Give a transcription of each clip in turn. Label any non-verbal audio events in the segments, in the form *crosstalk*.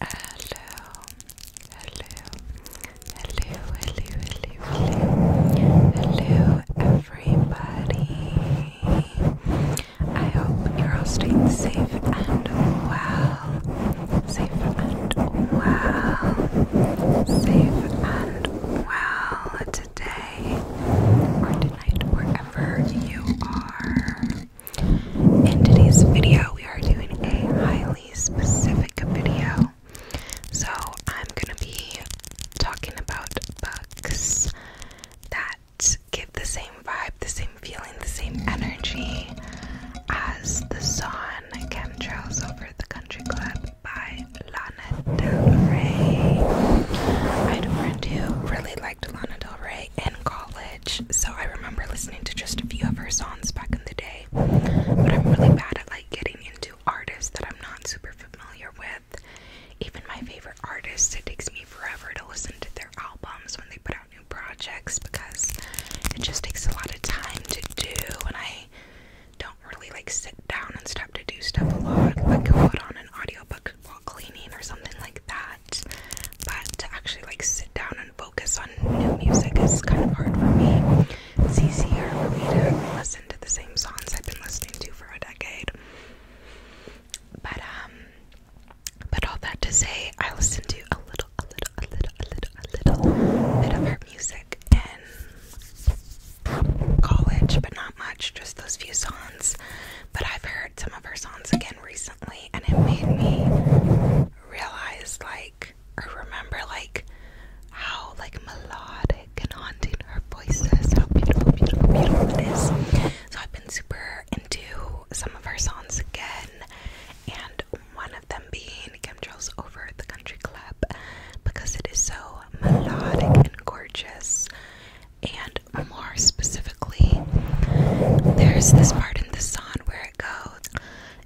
Hello, hello, hello, hello, hello, hello, everybody. I hope you're all staying safe and well. Safe and well. Safe and well today or tonight, wherever you are. In today's video, we are doing a highly specific video. So, I'm going to be talking about books that give the same vibe, the same feeling, the same energy as the Song Chemtrails Over the Country Club by Lana Del Rey. I do really liked Lana Del Rey in college so I remember listening to just a few of her songs back in the day. But I'm really bad at like getting into artists that I'm not super familiar with. Even my favorite artists, it takes me forever to listen to their albums when they put out new projects because it just takes a lot of time to do and I don't really like sit down and stuff to do stuff a lot. Like I'll put on an audiobook while cleaning or something like that. But to actually like sit down and focus on new music is kind of hard for me. It's easier for me to listen to the same songs I've been listening to for a decade. But um but all that to say I listen to a little a little a little a little a little bit of her music in college but not much, just those few songs. But I've heard some of her songs again recently and it made me realize like or remember like how like melodic and haunting her voice is, how beautiful, beautiful, beautiful it is. So I've been super into some of her songs again and one of them being Chemtrails Over the Country Club because it is so melodic and gorgeous and more specifically. There's this part in the song where it goes,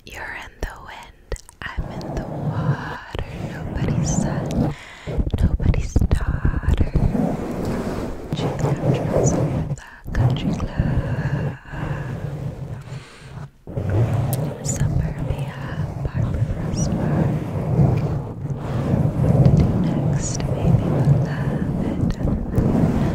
You're in the wind, I'm in the water, nobody's son, nobody's daughter. She's got dressed the country club. Suburbia, Barbara Frost What to do next? Maybe we'll love it.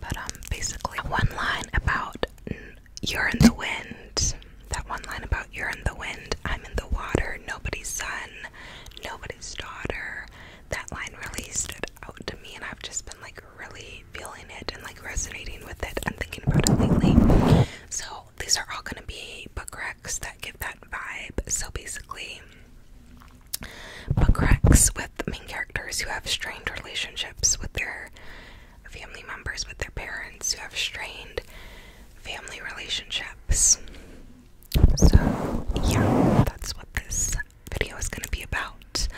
But um, basically, one line about you're in the wind. That one line about you're in the wind, I'm in the water, nobody's son, nobody's daughter. That line really stood out to me, and I've just been like really feeling it and like resonating with it and thinking about it lately. So these are all gonna be book recs that give that vibe. So basically, book recs with main characters who have strained relationships with their family members, with their parents who have strained family relationships. So, yeah, that's what this video is going to be about.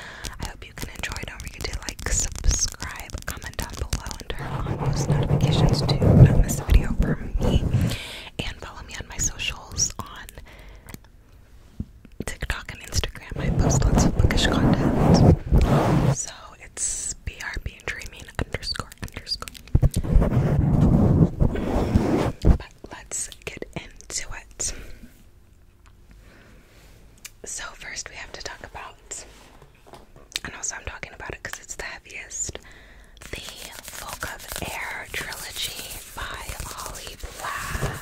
I hope you can enjoy. Don't forget to like, subscribe, comment down below, and turn on post notifications to not miss a video from me. And follow me on my socials on TikTok and Instagram. I post lots of bookish content. So it's BRB and dreaming underscore underscore. But let's get into it. So first we have to talk about and also I'm talking about it because it's the heaviest. The Folk of Air trilogy by Holly Black.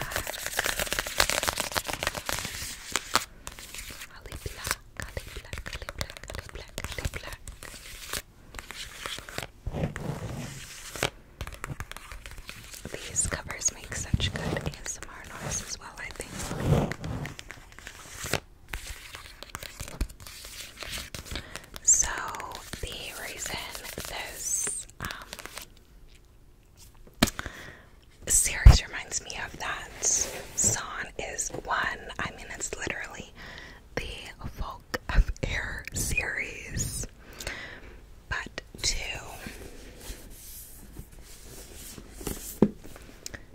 These covers make such good ASMR noise as well, I think. So the reason those um, the series reminds me of that. Son is one. I mean, it's literally the Folk of Air series. But two,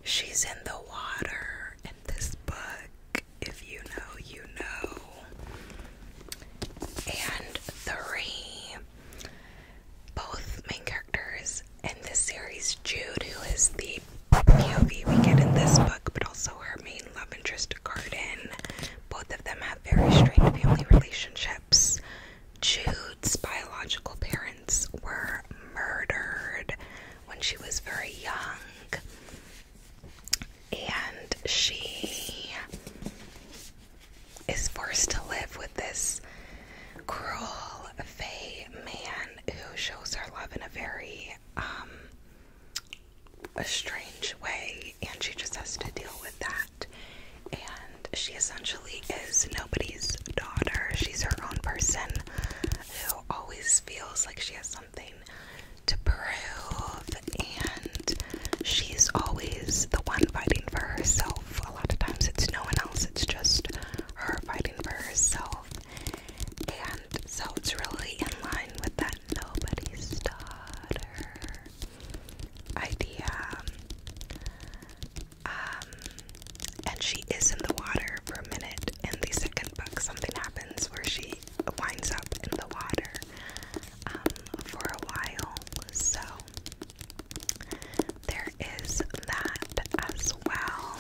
she's in the water in this book. If you know, you know. And three, both main characters in this series, Jude, who is the POV we get in this book, but also her main love interest, Garden. Both of them have very strained family relationships. Jude's biological parents were murdered when she was very young, and she is forced to live with this cruel fey man who shows her love in a very um a strange way and she just has to deal with that and she essentially is nobody's daughter she's her own person who always feels like she has something to prove and she's always the one fighting for herself a lot of times it's no one else, it's just her fighting for herself. And so it's really in line with that nobody's daughter idea. Um, and she is in the water for a minute. In the second book, something happens where she winds up in the water um, for a while. So there is that as well.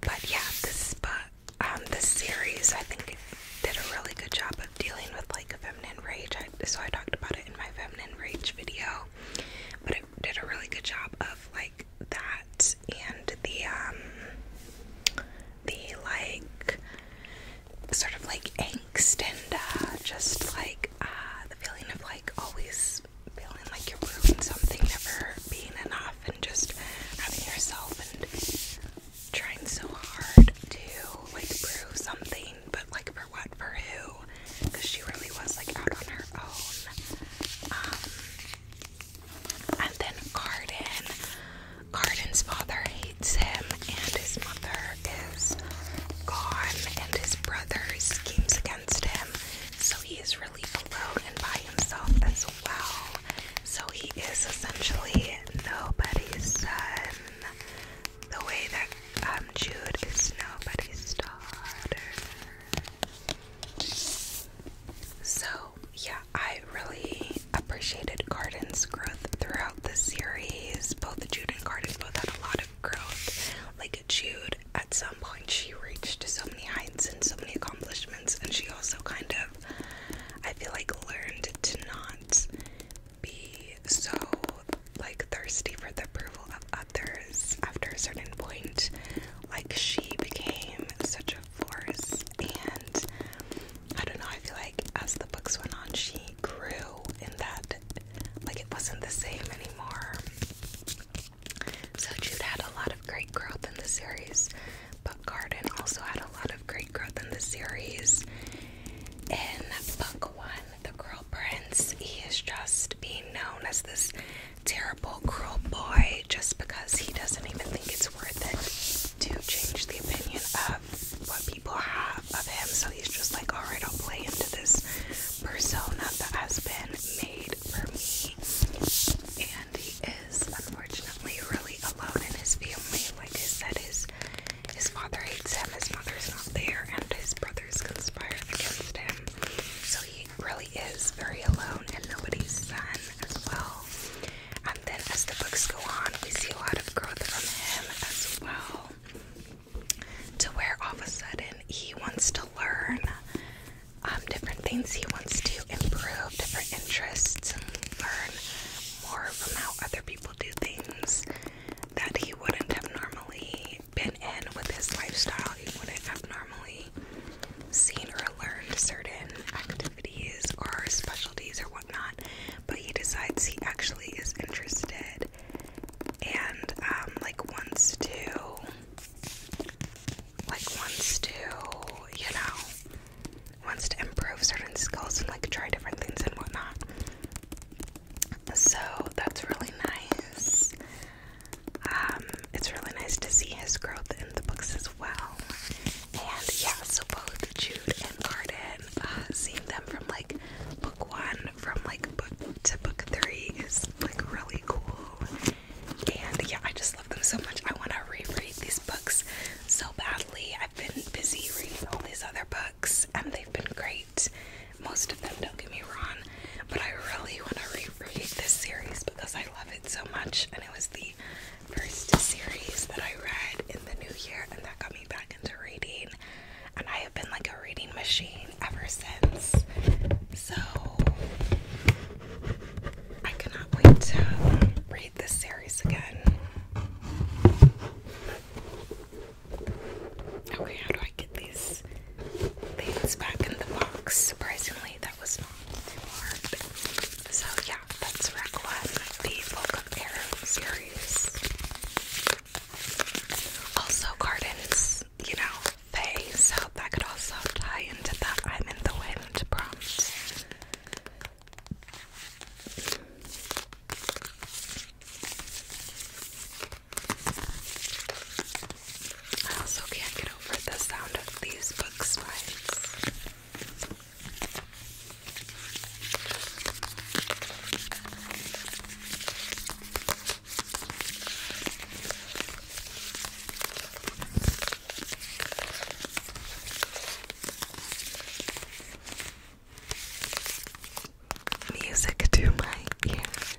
But yeah, this but um the series I think did a really good job of dealing with like feminine rage. so I talked about it in my feminine rage video, but it did a really good job of like that and the um the like sort of like extender, just like uh, the feeling of like always feeling like you're ruined something, never being enough, and just having yourself and trying so hard to like prove something, but like for what, for who? Because she really was like out on her own. Um, and then Carden. Carden's father hates him and his mother is gone and his brother schemes against him, so he is really alone and by himself as well. So he is essentially nobody's son. The way that um, Jude is nobody's daughter. So, yeah, I really appreciated Garden's growth throughout the series. Both Jude and Garden both had a lot of growth. Like, Jude, at some point she reached so many heights and so many accomplishments, and she also kind of, I feel like, learned to not be so like thirsty for the approval of others after a certain point. Like she became such a force, and I don't know, I feel like as the books went on, she grew in that like it wasn't the same anymore. So Jude had a lot of great growth in the series, but Garden also had a lot of great growth in the series. In book one, the Girl Prince, he is just being known as this terrible, cruel boy just because he doesn't even think it's worth it to change the opinion of what people have of him. So he's just like, alright, I'll play into this persona that has been made for me. And he is unfortunately really alone in his family. Like I said, his his father hates him, his mother's not there, and his brothers conspire against him. So he really is very alone and nobody's son as well. And then as the books go on, we see a lot of growth from him as well to where all of a sudden he wants to learn um, different things. He wants to improve different interests and learn more from how other people do things that he wouldn't have normally been in with his lifestyle. He wouldn't have normally seen or learned certain activities or specialties or whatnot, but he decides he actually is interested and um, like one's two, like one's to, you know, one's to improve certain skills and like try different things and whatnot. So that's really nice. Um, it's really nice to see his growth in the books as well. And yeah, so both Jude and Garden, uh, seeing them from like book one from like book to book three is like really cool. And yeah, I just love them so much. I want to reread these books so badly. I've been busy reading all these other books and they've been great. Most of them, don't get me wrong, but I really want to reread this series because I love it so much. And it was the first series that I read in the new year, and that got me back into reading and I have been like a reading machine ever since. So I cannot wait to read this series again. Okay, how do I get these things back in the box? Surprisingly, that was not too hard. So yeah, that's Rec One, the Book of Air series. Also, gardens, you know, they so that could also tie into the I'm in the wind prompt. I also can't get over the sound of these book Music to my ears.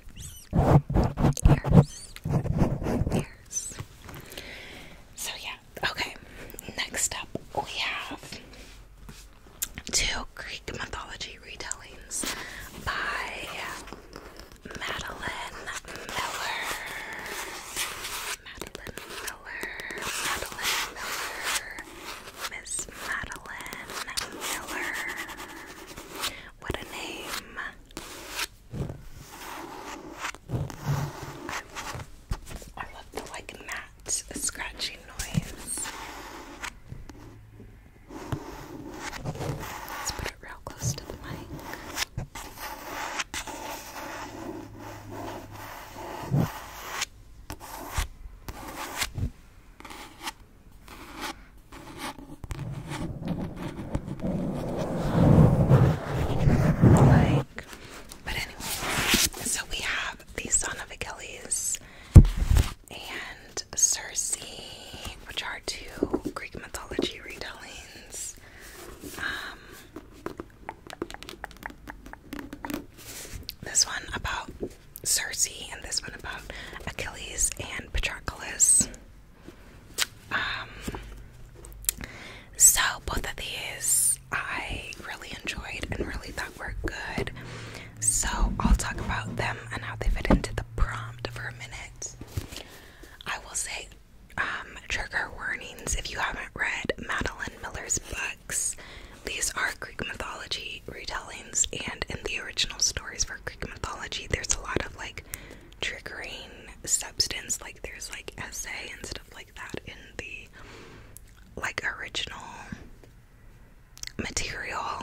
So, yeah, okay. Next up, we have Two Greek mythology retellings by Madeline Miller. Madeline Miller. Madeline Miller. Miss Madeline Miller. What a name. I, love the like matte scratchy noise. Let's put it real close to the mic. Like, but anyway, so we have these Son of Achilles and Circe, which are two Greek mythology retellings. Um, this one about Circe, and this one about Achilles and Patroclus. Um, so both of these I really enjoyed and really thought were good. So I'll talk about them and how they fit into the prompt for a minute. I will say um, trigger warnings if you haven't read Madeline Miller's books. These are Greek mythology retellings, and in the original stories for Greek mythology, there's a lot of like triggering substance, like there's like essay and stuff like that in the like original material.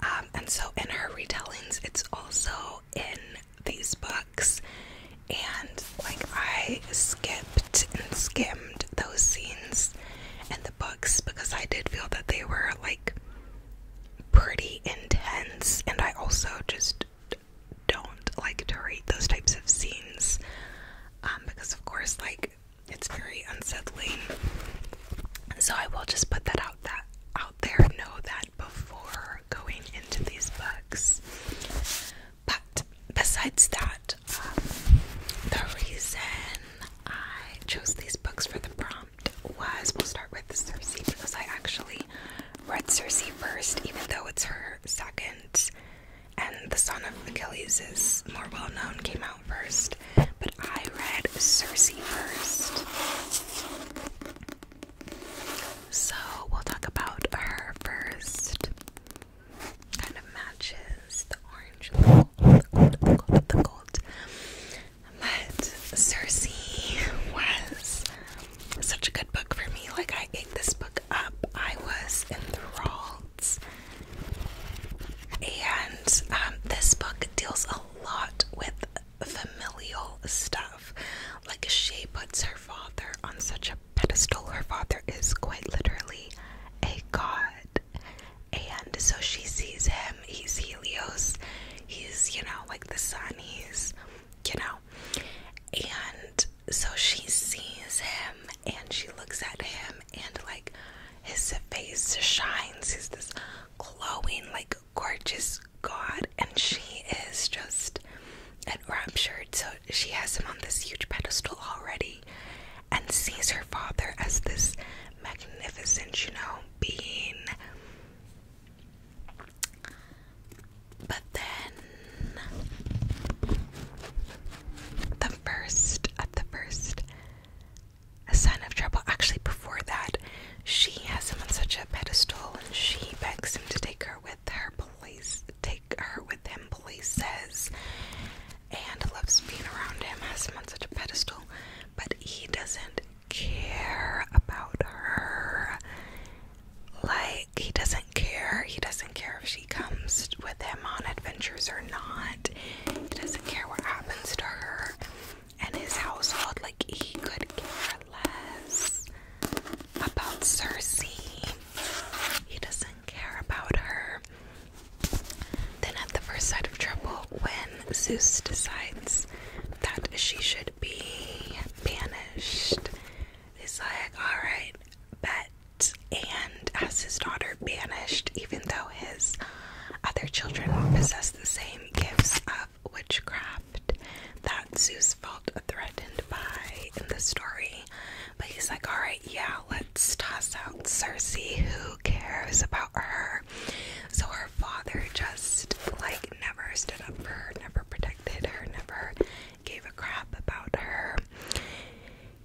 Um, and so in her retellings, it's also in these books. And like I skipped and skimmed those scenes in the books because I did feel that they were like pretty intense, and I also just don't like to read those types of scenes um, because, of course, like it's very unsettling. So I will just put that out that out there know that before going into these books. But besides that, um, the reason I chose these books for the prompt was we'll start with Cersei because I actually read Cersei first, even though it's her second, and The Son of Achilles is more well known, came out first, but I read Cersei first. So we'll talk about her first. Kind of matches the orange, the gold, the gold, the gold. But Cersei was such a good book for me. Like, I ate this book up, I was enthralled. And um, this book deals a lot with familial stuff. Like she puts her father on such a pedestal. Her father is quite literally a god. And so she sees him. He's Helios. He's, you know, like the sun. He's, you know. And so she sees him and she looks at him and, like, his face shines. He's this glowing, like a gorgeous god, and she is just enraptured. So she has him on this huge pedestal already and sees her father as this magnificent, you know, being. But then the first at the first a sign of trouble. Actually, before that, she has him on such a pedestal and she begs him to take her with her. Police take her with him, police says, and loves being around him, has him on such a pedestal, but he doesn't care about her. Like, he doesn't care. He doesn't care if she comes with him on adventures or not. He doesn't care what happens to her and his household, like he could care less about Cersei. He doesn't care about her. Then at the first sight of trouble, when Zeus decides that she should be banished, he's like, alright, But And as his daughter banished, even though his other children possess the same gifts of witchcraft that Zeus felt threatened by in the story. But he's like, alright, yeah, let's toss out Circe. Who cares about her? So her father just like never stood up for her, never protected her, never gave a crap about her.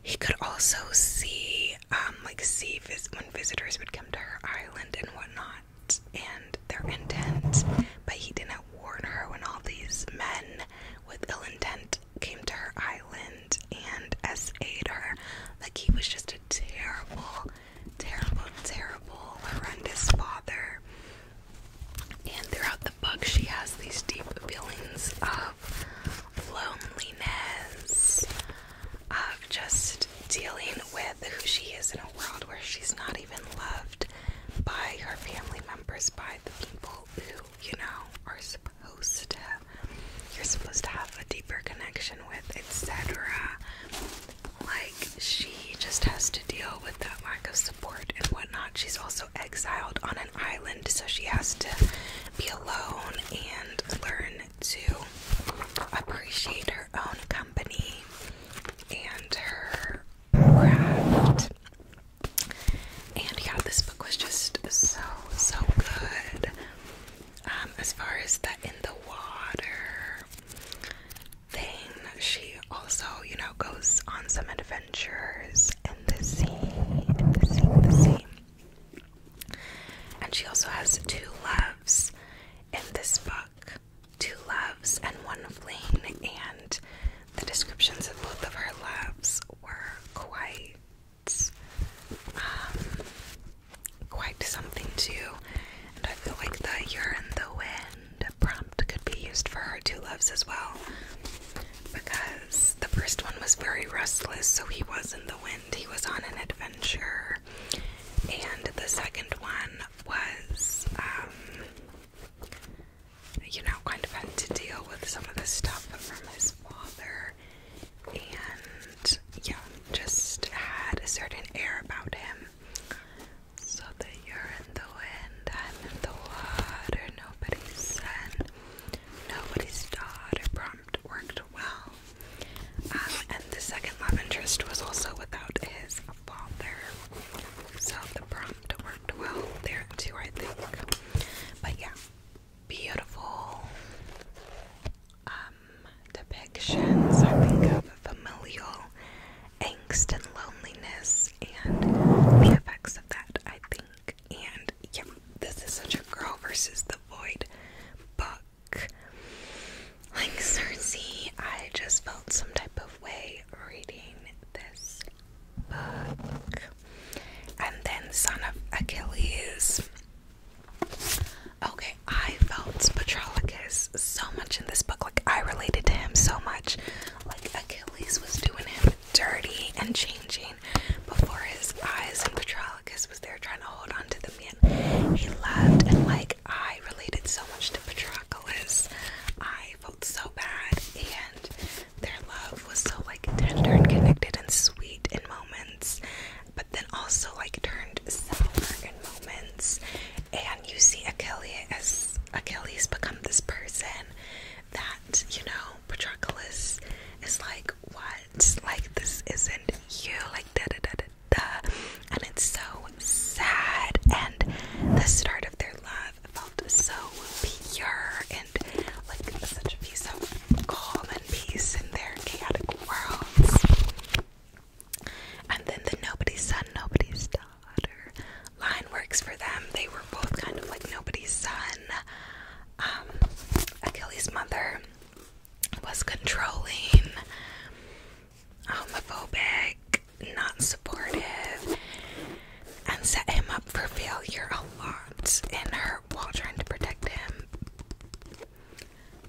He could also see um, like see vis when visitors would come to her island and whatnot and their intent, but he didn't warn her when all these men with ill intent came to her island and essayed her. Like he was just a terrible, terrible, terrible, horrendous father. And throughout the book, she has these deep feelings of loneliness, of just dealing with who she is in a world where she's not even loved by her family members, by the people who, you know, are supposed to you're supposed to have a deeper connection with, etc. Like she just has to deal with that lack of support and whatnot. She's also exiled on an island, so she has to be alone and learn to appreciate her own company and her craft. And yeah, this book was just so, so good. Um, as far as the in the water thing, she also, you know, goes on some adventures in the sea, in the sea, in the sea. And she also has two loves, in this book two loves and one flame, and the descriptions of both of her loves were quite um, quite something too. And I feel like the "you're in the wind" prompt could be used for her two loves as well, because the first one was very restless, so he was in the wind. He was on an adventure and the second one was, um, you know, kind of had to deal with some of the stuff from his father, and yeah, just had a certain air about him. So that you're in the wind, I'm in the water, nobody's son, nobody's daughter. Prompt worked well. Um, and the second love interest was also without his father. So the prompt worked well there too, I think. But yeah, beautiful um, depictions, I think, of familial angst and loneliness and the effects of that, I think. And yeah, this is such a girl versus the void book. Like Cersei, I just felt some type of way reading this book. And then Son of Achilles. Okay, I felt Patroclus so much in this book. Like I related to him so much. Like Achilles was doing him dirty and changing before his eyes, and Patroclus was there trying to hold on to the he loved, and like I related so much to Patroclus. I felt so bad, and their love was so like tender and connected and sweet in moments, but then also like turned sour in moments. And you see Achilles Achilles become this person that you know Patroclus is like, what? Like this isn't you? Like da da da da duh. And it's so sad. And the start of their love felt so pure and like such a piece of calm and peace in their chaotic worlds. And then the nobody's son, nobody's daughter line works for them. They were both kind of like nobody's son. Um, Achilles' mother was controlling, homophobic, um, not supportive, and set him up for failure a lot in her while trying to protect him.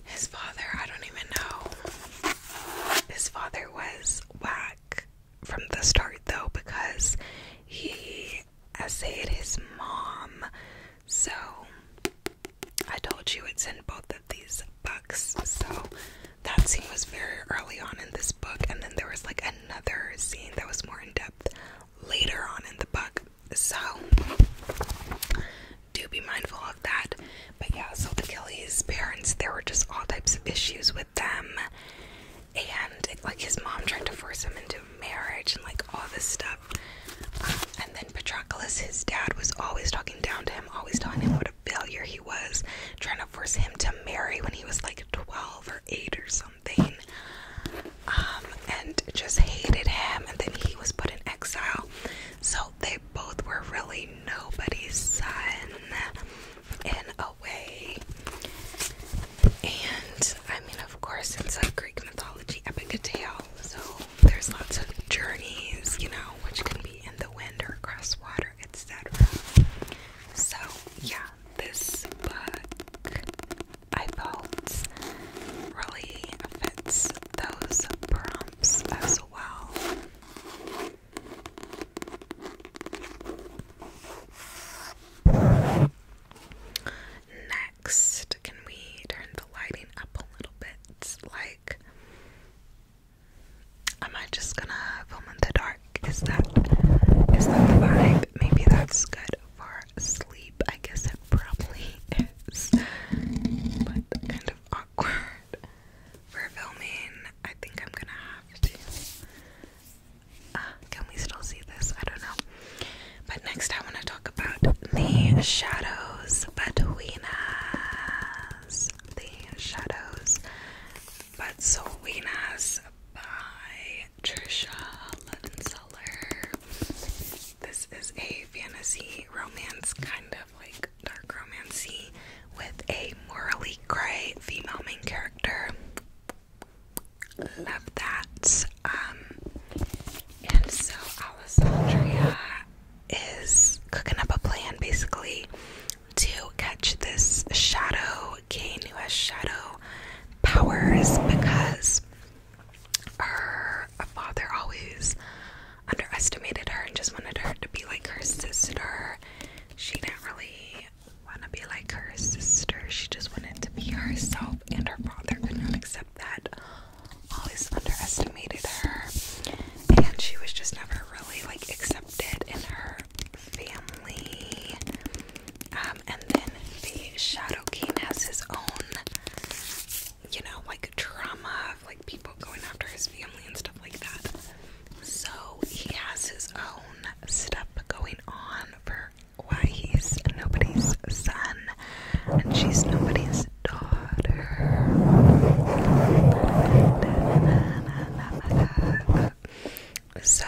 His father, I don't even know. His father was whack from the start though because he essayed his mom. So I told you it's in both of these books, so that scene was very early on in this book, and then there was like another scene that was more in depth later on in the book. So do be mindful of that. But yeah, so the Kelly's parents, there were just all types of issues with them, and like his mom trying to force him into marriage and like all this stuff and then Patroclus, his dad, was always talking down to him, always telling him what a failure he was, trying to force him to marry when he was like 12 or 8 or something. Um, and just hated him, and then he was put in exile. So they both were really nobody's son in a way. And I mean, of course, it's a Greek mythology epic tale. So there's lots of journeys, you know, which can be in the wind or across water, etc. So yeah, this book I felt really fits those prompts as well. Next, can we turn the lighting up a little bit? Like dark. Am I just gonna film in the dark? Is that is that the vibe? Maybe that's good for sleep. I guess it probably is. But kind of awkward for filming. I think I'm gonna have to uh, can we still see this? I don't know. But next I wanna talk about the shadows but between us. The shadows but between us by Trisha Levenseller. This is a fantasy romance, kind of like dark romancy, with a morally gray female main character. Love that. Um, and so Alessandria is cooking up a plan basically to catch this shadow Kane who has shadow powers because her father always underestimated her and just wanted her to be like her sister. She didn't really want to be like her sister, she just wanted to be herself, and her father could not accept that always underestimated her and she was just never really like accepted in her family. Um, and then the Shadow King has his own, you know, like trauma of like people going after his family and stuff like that. So he has his own stuff going on for why he's nobody's son and she's nobody's daughter. So,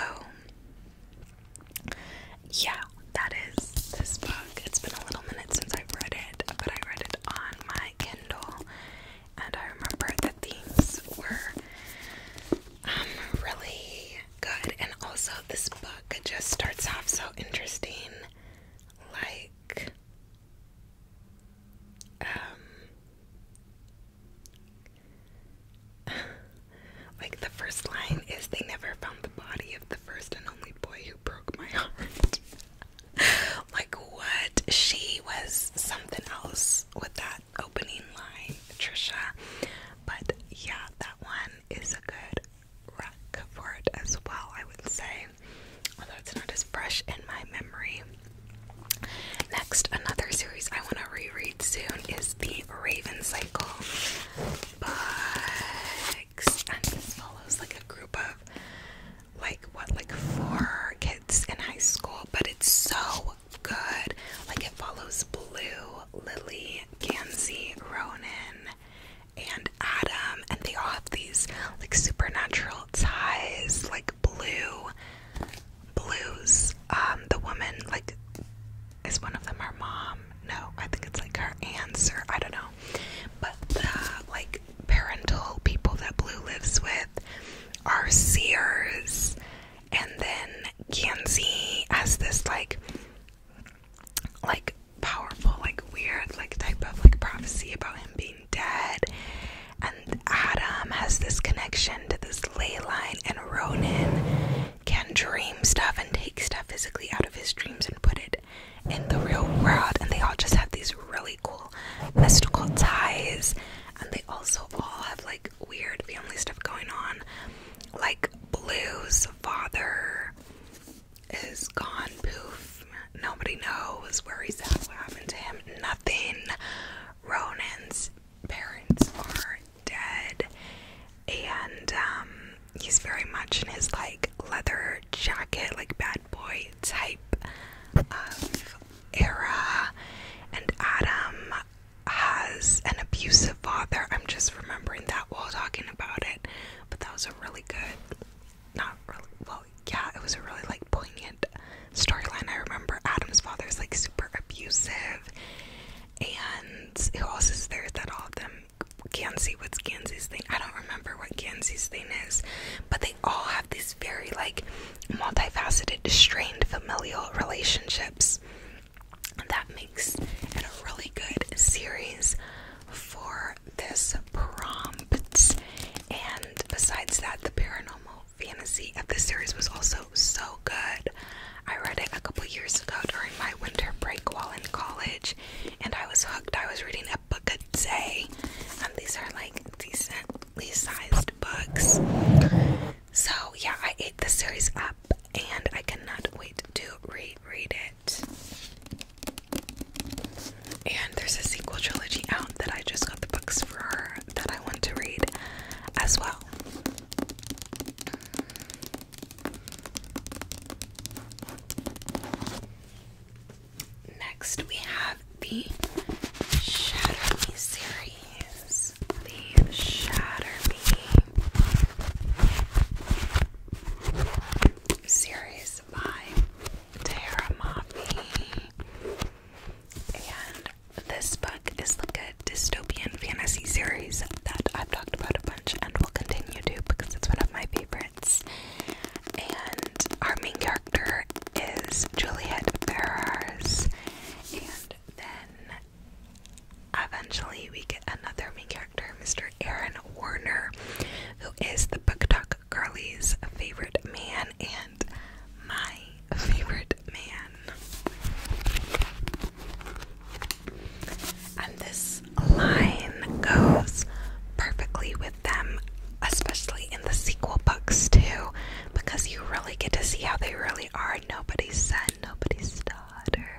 yeah, that is this book. It's been a little minute since i read it, but I read it on my Kindle, and I remember the themes were um, really good. And also, this book just starts off so interesting. Like, um, *laughs* like the first line is they never found the body of the first and only boy who broke my *laughs* heart. like what? She was something else with that opening line, Trisha. But yeah, that one is a good wreck for it as well, I would say, although it's not as fresh in my memory. Next, another series I want to reread soon is The Raven Cycle books, and this follows like a group of like what, like four kids in high school, but it's so good. Like, it follows Blue, Lily, Gansey, Ronan, and Adam, and they all have these like supernatural ties, like blue blues. Um, the woman like is one of them her mom. No, I think it's like her answer. I don't know. But the like parental people that Blue lives with are seers, and then Gansey has this like like powerful, like weird, like type of like prophecy about him being dead. And Adam has this connection to this ley line, and Ronan can dream stuff and take stuff physically out of his dreams and put it in the real world. And they all just have these really cool mystical ties. And they also all have like weird family stuff going on, like Blue's father is gone poof. Nobody knows where he's at, what happened to him, nothing. Ronan's parents are dead, and um, he's very much in his like leather jacket, like bad boy type of era. And Adam has an abusive father. I'm just remembering that while talking about it, but that was really good not really well yeah it was a really like poignant storyline i remember adam's father is like super abusive and who else is there that all of them gansey what's gansey's thing i don't remember what gansey's thing is but they all have these very like multifaceted strained familial relationships and that makes it a really good series for this prompt. And besides that, the paranormal fantasy of this series was also so good. I read it a couple years ago during my winter break while in college, and I was hooked. I was reading a book a day, and um, these are like decently sized books. So, yeah, I ate the series up, and I cannot wait to reread it. And there's a sequel trilogy out that I just got the books for that I want to read as well. Next, we have the Shatter Me series. The Shatter Me series by Tara Maffey. And this book is like a dystopian fantasy series that I've talked about a bunch and will continue to because it's one of my favorites. And our main character is Juliet Ferrars. And then eventually we get another main character, Mr. Aaron Warner, who is the Book Talk Girlie's favorite man and my favorite man. And this line goes perfectly with them, especially in the sequel books, too, because you really get to see how they really are. Nobody's son, nobody's daughter.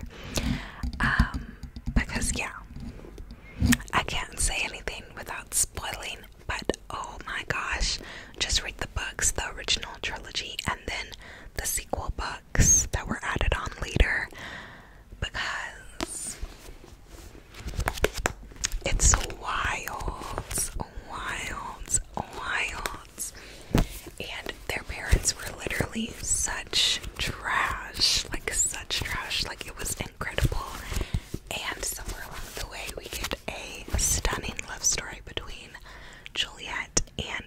Um, because, yeah, I can't say anything without spoiling, but oh my gosh, just read the books, the original trilogy, and then the sequel books that were added on later because it's wild, wild, wild. And their parents were literally such trash, like such trash, like it was incredible. And somewhere along the way, we get a stunning love story between Juliet and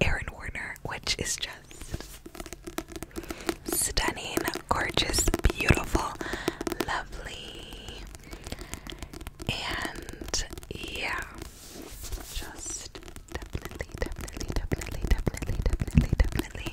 Aaron Warner, which is just stunning, gorgeous, beautiful, lovely. And yeah, just definitely, definitely, definitely, definitely, definitely, definitely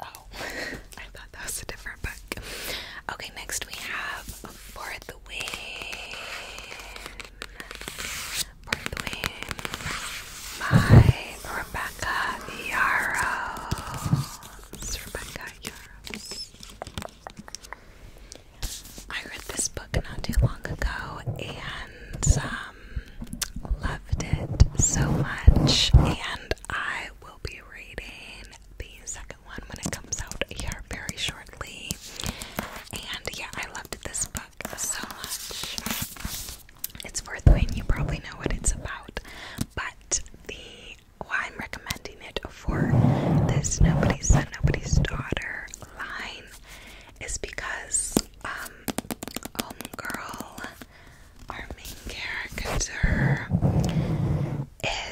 Okay. Oh, *laughs* I thought that was a different book. Okay, next we have For the Win. For the Win by Rebecca Yarrow. Rebecca Yarrow. I read this book not too long ago and um, loved it so much, and I will be reading the second one when it comes out here very shortly. And yeah, I loved this book so much. It's worth reading. You probably know what it's about, but the why I'm recommending it for this nobody's son, nobody's daughter line is because um homegirl our main character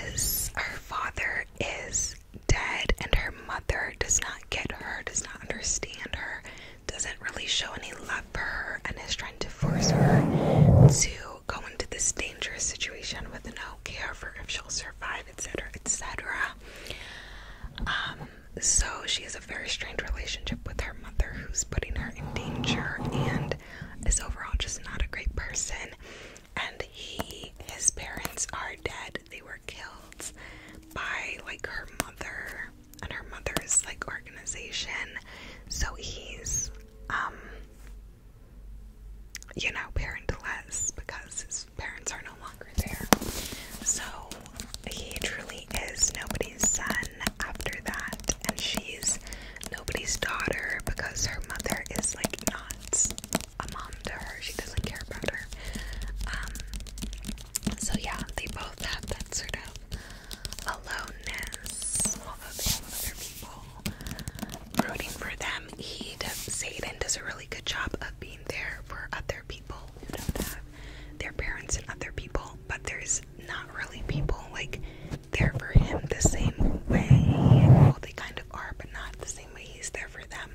is her father is dead, and her mother does not get her, does not understand her, doesn't really show any love for her, and is trying to force her to go into this dangerous situation with no care for if she'll survive, etc., etc. Um, so she has a very strange relationship with her mother who's putting her in danger and is overall just not a great person. And he, his parents are dead. They were killed by like her mother and her mother's like organization. So he's, um, you know, parentless because his parents are no longer there. So he truly is nobody's son after that, and she's nobody's daughter because her mother is like not a mom to her. She doesn't care about her. Um, so yeah, they both have that sort of aloneness, although they have other people rooting for them. He does, Satan does a really good job of being there for other people who don't have their parents and other people, but there's not really people. Like, they're for him the same way. Well, they kind of are, but not the same way he's there for them.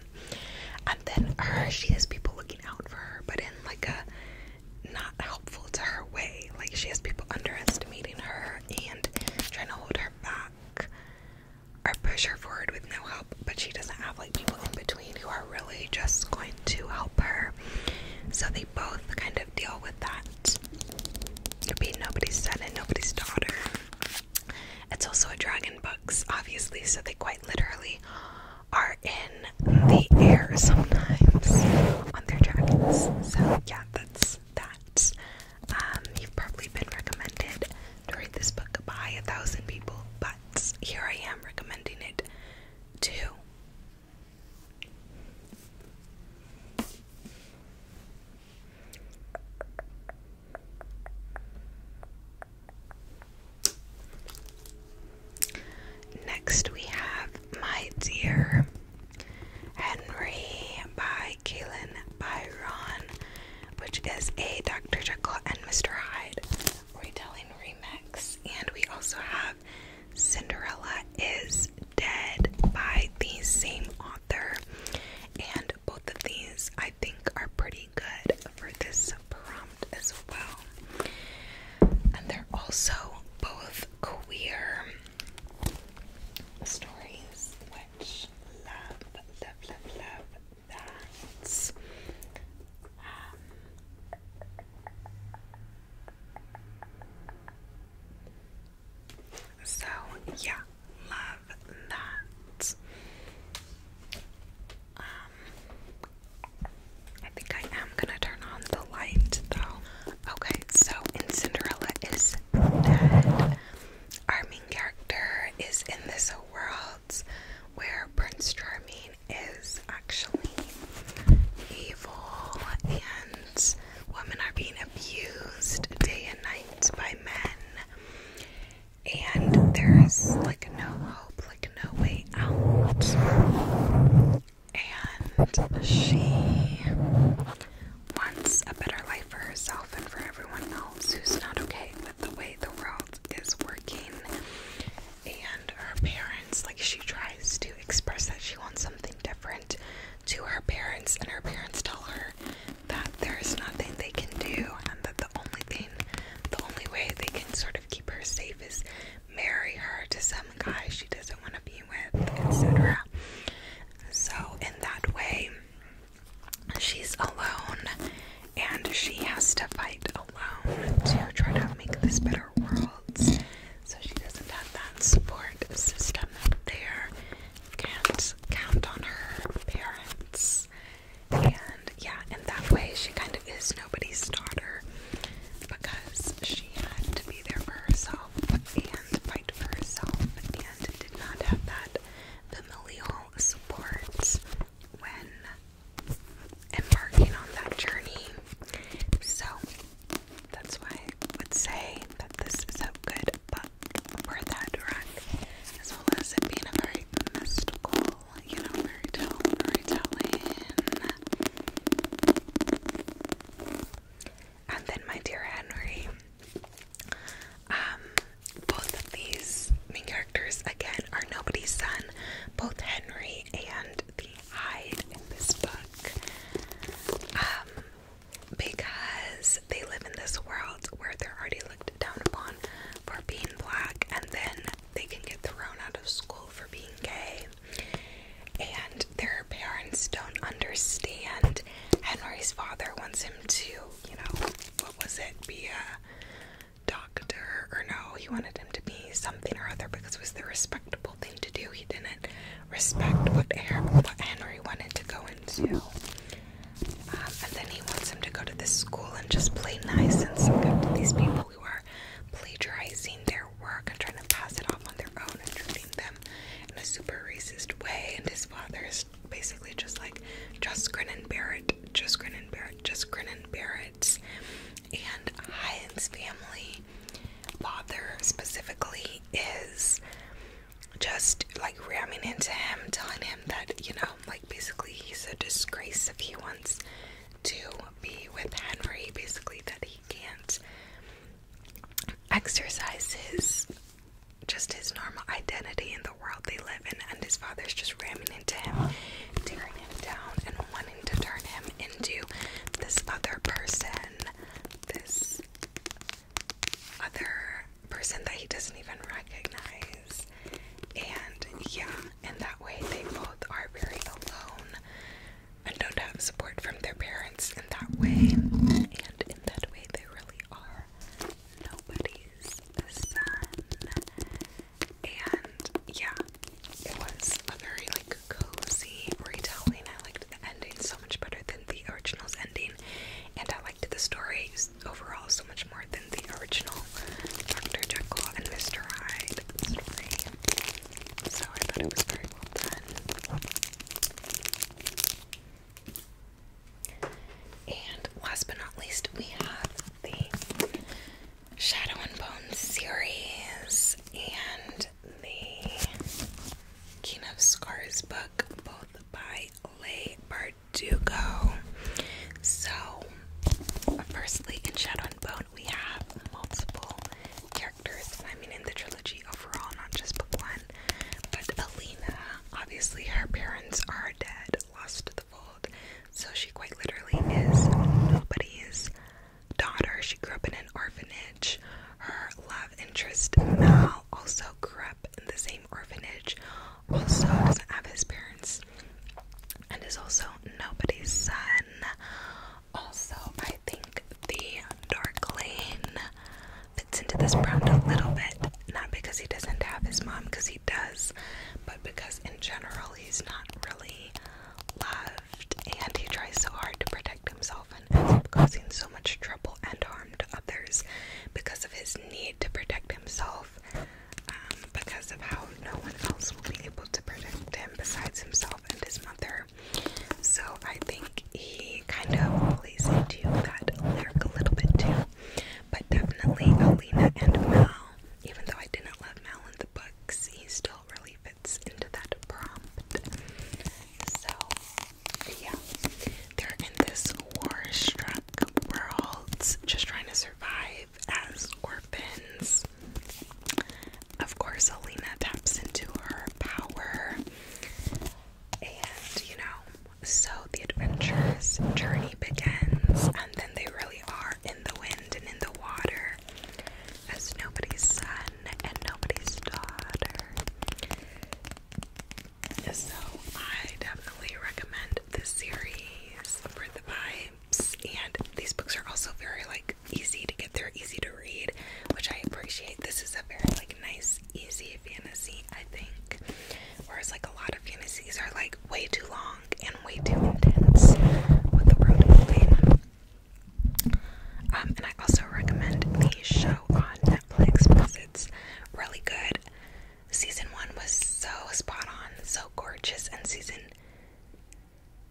And then her, she has people looking out for her, but in like a not helpful to her way. Like, she has people underestimating her and trying to hold her back or push her forward with no help, but she doesn't have like people in between who are really just going to help her. So they both kind of deal with with that. Be nobody's son and nobody's daughter. It's also a dragon books, obviously, so they quite literally are in the air sometimes on their dragons. So yeah, that's that. Um, you've probably been recommended to read this book by a thousand people, but here I am recommending it to Next, we have My Dear Henry by Kaylin Byron, which is a Dr. Jekyll and Mr. Hyde retelling remix. And we also have Cinderella is Dead by the same author, and both of these I think are pretty good for this prompt as well. And they're also both queer stories, which love, love, love, love that. Um, so, yeah, love that. Um, I think I am gonna turn on the light though. Okay, so in Cinderella is Our main character is in this world where Prince Charming is actually evil and women are being abused day and night by men and there's like no hope like no way out and she wants a better life for herself and for everyone else who's not okay with the way the world is working and her parents like she tries to express that she wants something different to her parents, and her parents tell her that there is nothing they can do, and that the only thing, the only way they can sort of keep her safe is marry her to some guy she doesn't want to be with, etc. So, in that way, she's alone and she has to fight alone to try to make this better world. So she doesn't have that support system out there. Can't count on her parents. And yeah, in that way, she kind of is nobody's daughter because she had to be there for herself and fight for herself and did not have that familial support when embarking on that journey. So that's why I would say that this is so good book for that direct, as well as it being a very mystical, you know, fairy tale, fairy tale. And then, my dear Henry, um, both of these main characters again are nobody's son. Both Henry and the hide in this book um, because they live in this world where they're already looked down upon for being black, and then they can get thrown out of school for being gay. And their parents don't understand. Henry's father wants him to, you know, what was it, be a doctor, or no, he wanted him to be something or other because it was the respectable thing to do. He didn't respect whatever what Henry wanted to go into. Um, and then he wants him to go to this school and just play nice and suck up to these people who are plagiarizing their work and trying to pass it off on their own and treating them in a super racist way. And his father is basically just like, just grin Barrett, just grin Barrett, bear it, just grin and bear And Hines' family father specifically is just like ramming into him, telling him that, you know, like basically he's a disgrace if he wants to be with Henry, basically, that he can't exercise his just his normal identity in the world they live in, and his father's just ramming into him, tearing him down, and wanting to turn him into this other person this other person that he doesn't even recognize. And yeah, and that way they both are very alone and don't have support from their parents in that way. And in that way, they really are nobody's son. And yeah, it was a very like cozy retelling. I liked the ending so much better than the original's ending, and I liked the story overall so much more than the original Dr. Jekyll and Mr. Hyde story. So I thought it was very well done. And last but not least, we have the Shadow and Bone series, and the King of Scars book, both by Leigh Bardugo. So, firstly, in Shadow and Bone, we have multiple characters. I mean, in the trilogy overall, not just book one. But Alina, obviously, her parents are dead, lost the fold. So, she quite literally is nobody's daughter. She grew up in an orphanage. Her love interest Mal also grew up in the same orphanage. Also doesn't have his parents and is also nobody's son. Also, I think the dark lane fits into this brand a little bit. Not because he doesn't have his mom, because he does, but because in general he's not really loved and he tries so hard to protect himself and ends up causing so much trouble and harm to others because of his need to protect himself, um, because of how no one else will be able to protect him besides himself and his mother. So I think he kind of plays into that lyric a little bit too. But definitely Alina and Mal, even though I didn't love Mal in the books, he still really into that prompt. So, yeah, they're in this war-struck world, just trying to survive as orphans. Of course, Alina taps into her power, and you know, so the adventurous journey begins, and then they really are in the wind and in the water as nobody's son and nobody's daughter. So I definitely recommend this series for the vibes. And these books are also very like easy to get through, easy to read, which I appreciate. This is a very like nice, easy fantasy, I think. Whereas like a lot of fantasies are like way too long and way too intense with the world of um, and I also recommend the show on Netflix because it's really good. Season one was so spot on, so gorgeous, and season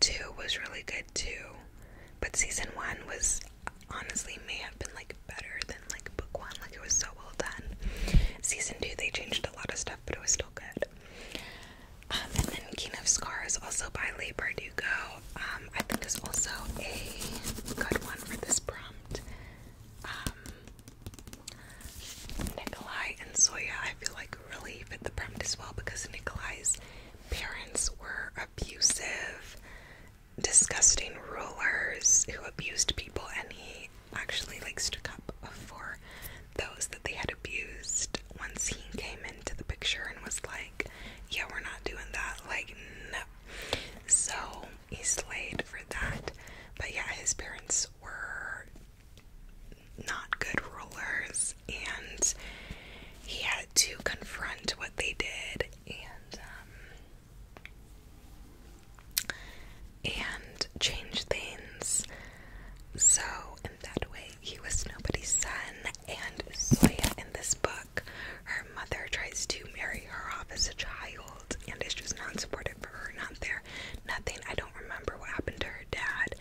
two was really good too. But season one was honestly may have been like better than like book one, like it was so well done. Season two, they changed a lot of stuff, but it was still good. Um, and then King of Scars, also by Leigh Bardugo, um, I think is also a good one for this prompt. Um, Nikolai and Soya, I feel like really fit the prompt as well because Nikolai's parents were abusive, disgusting rulers who abused people, and he actually like stuck up for those that they had abused once he came into the picture and was like, Yeah, we're not doing that, like, no. So he slayed for that. But yeah, his parents were not good rulers, and he had to confront what they did, and um, and change things. So in that way, he was nobody's son, and Soya in this book, her mother tries to marry her off as a child and it's just not supportive for her, not there, nothing. I don't remember what happened to her dad.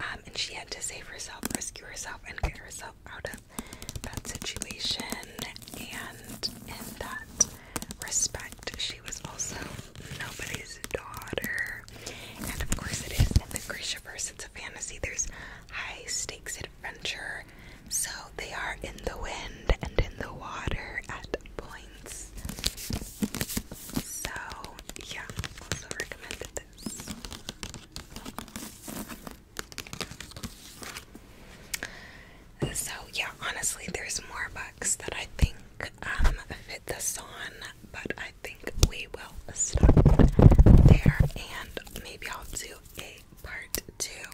Um, and she had to save herself, rescue herself, and get herself out of that situation. And in that respect, she was also nobody's daughter. And of course, it is in the Grishaverse. It's fantasy, there's high stakes adventure. So they are in the wind and in the water at points. So, yeah, also recommended this. So, yeah, honestly, there's more books that I think um, fit this on, but I think we will stop there and maybe I'll do a part two.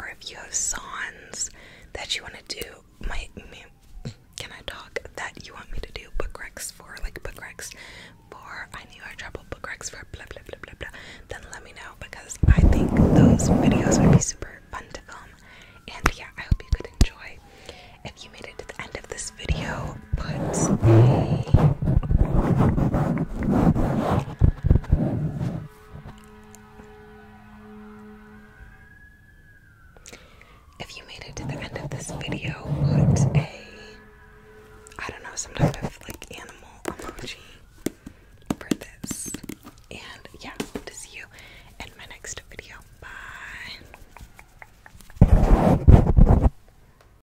Or if you have songs that you want to do, my, my can I talk that you want me to do book recs for like book recs for I knew I trouble book recs for blah blah blah blah blah. Then let me know because I think those videos would be super fun to film. And yeah, I hope you could enjoy. If you made it to the end of this video, puts if you made it to the end of this video, put a I don't know, some type of like animal emoji for this. And yeah, hope to see you in my next video. Bye.